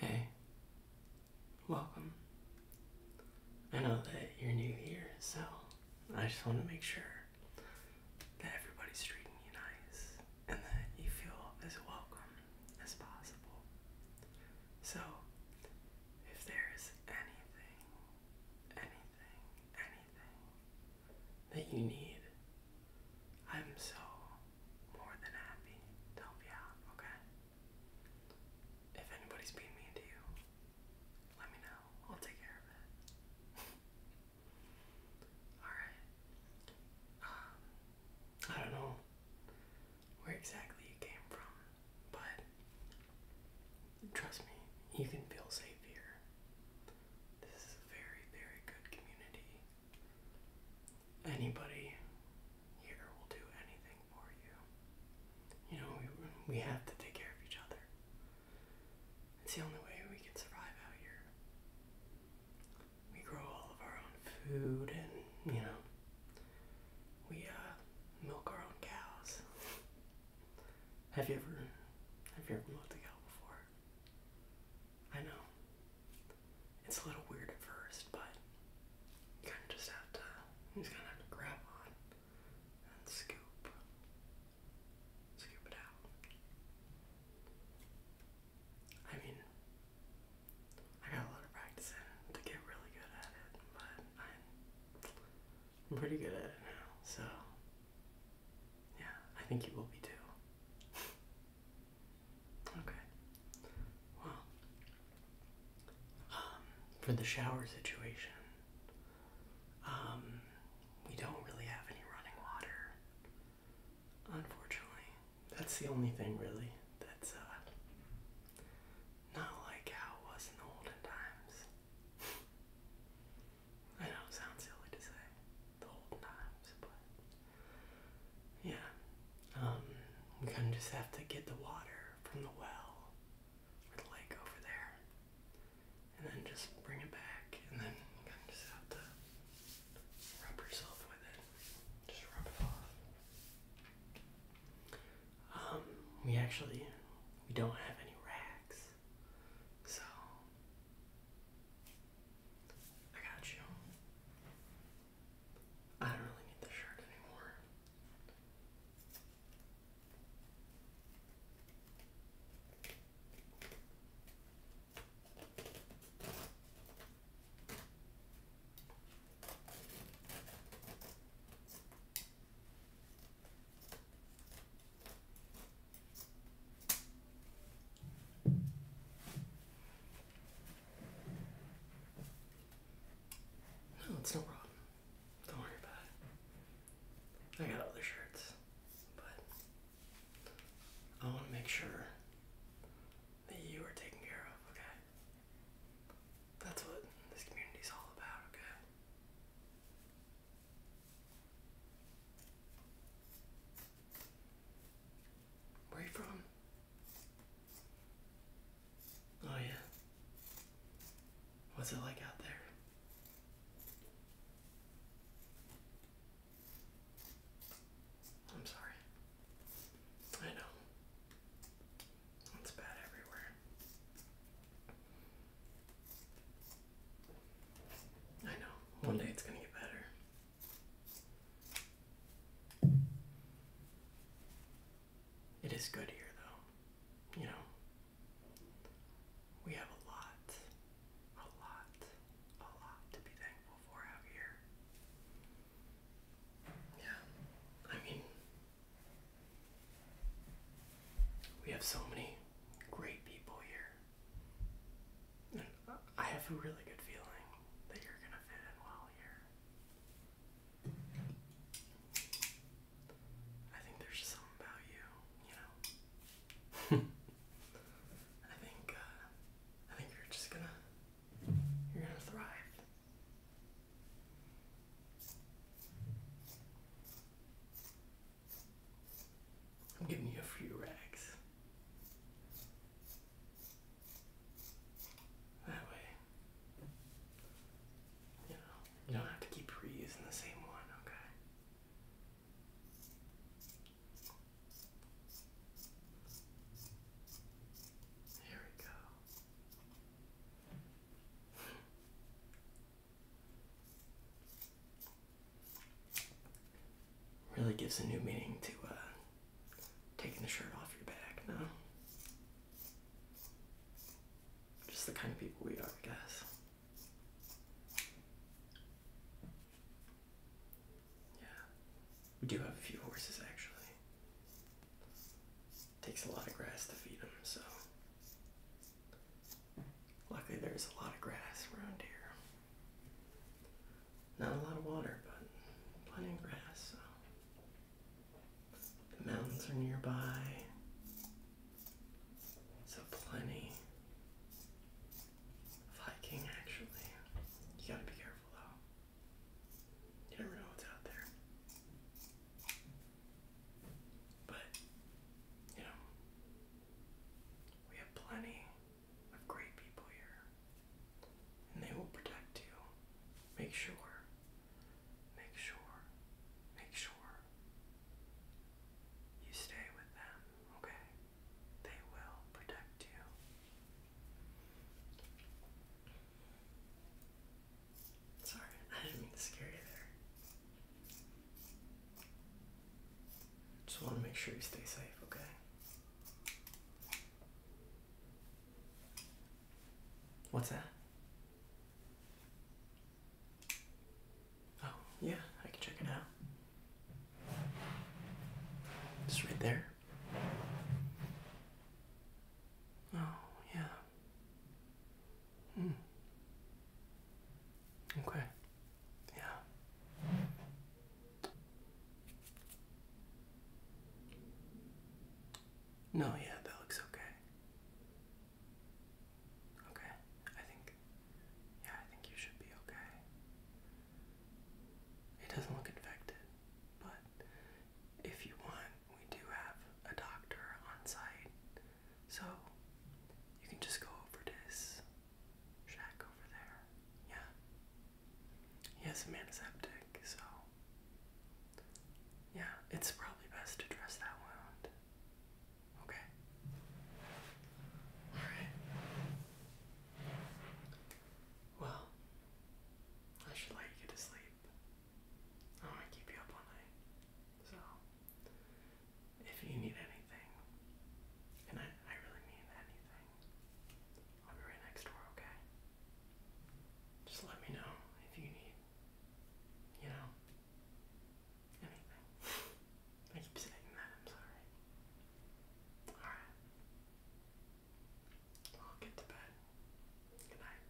Hey, welcome. I know that you're new here, so I just want to make sure that everybody's treating you nice and that you feel as welcome as possible. So, if there is anything, anything, anything that you need. I'm so more than happy to help you okay? If anybody's being mean to you, let me know. I'll take care of it. Alright. Um, I don't know where exactly you came from, but Trust me, you can feel safe here. This is a very, very good community. Anybody here will do anything for you. You know, we, we have to take care of each other. It's the only way we can survive out here. We grow all of our own food and, you know, we uh, milk our own cows. Have you ever have you ever looked at out before? I know. It's a little weird at first, but you kinda just have to you just kinda have to grab on and scoop. Scoop it out. I mean I got a lot of practice to get really good at it, but i I'm pretty good at it now, so yeah, I think you will be too. okay. Well, um, for the shower situation, um, we don't really have any running water, unfortunately. That's the only thing, really, that's uh, not like how it was in the olden times. I know sounds silly to say the old knives, but yeah. Um, we kind of just have to get the water from the well or the lake over there, and then just bring it back, and then kind of just have to rub yourself with it, just rub it off. Um, we actually we don't have any racks, so I got you. I don't really need the shirt anymore. No, it's no problem. Don't worry about it. I got other shirts, but I want to make sure that you are taken care of, okay? That's what this community is all about, okay? Where are you from? Oh, yeah. What's it like out there? I'm sorry. I know. It's bad everywhere. I know. One day it's going to get better. It is good here, though. You know, we have a lot, a lot, a lot to be thankful for out here. Yeah, I mean, we have so many great people here. And I have a really good feeling that you're going to fit in well here. I think there's just something about you, you know. I think uh, I think you're just gonna you're gonna thrive. I'm giving you a few rags. That way, you know, you don't have to keep reusing the same one, okay? Here we go. Really gives a new meaning to uh, taking the shirt off your back, no? Just the kind of people we are, I guess. Yeah, we do have a few horses actually. Takes a lot of grass to feed them, so Luckily, there's a lot of grass around here. Not a lot of water, but plenty of grass. The mountains are nearby, so plenty of hiking actually. You gotta be careful though. You never know what's out there. But, you know, we have plenty of great people here, and they will protect you. Make sure, make sure, make sure you stay with them, okay? They will protect you. Sorry, I didn't mean to scare you there. Just want to make sure you stay safe, okay? What's that? Oh, yeah, I can check it out. It's right there. Oh, yeah. Mm. Okay. Yeah. No, yeah, that looks okay. Okay. I think yeah, I think you should be okay. It doesn't look infected, but if you want, we do have a doctor on site so you can just go over this shack over there. Yeah. He has some antiseptic, so yeah, it's probably best to dress that wound. Okay. Alright. Well, I should let you get to sleep. I want to keep you up all night. So, if you need anything, and I, I really mean anything, I'll be right next door, okay? Just let me know if you need, you know, anything. I keep saying that, I'm sorry. Alright. get to bed. Good night.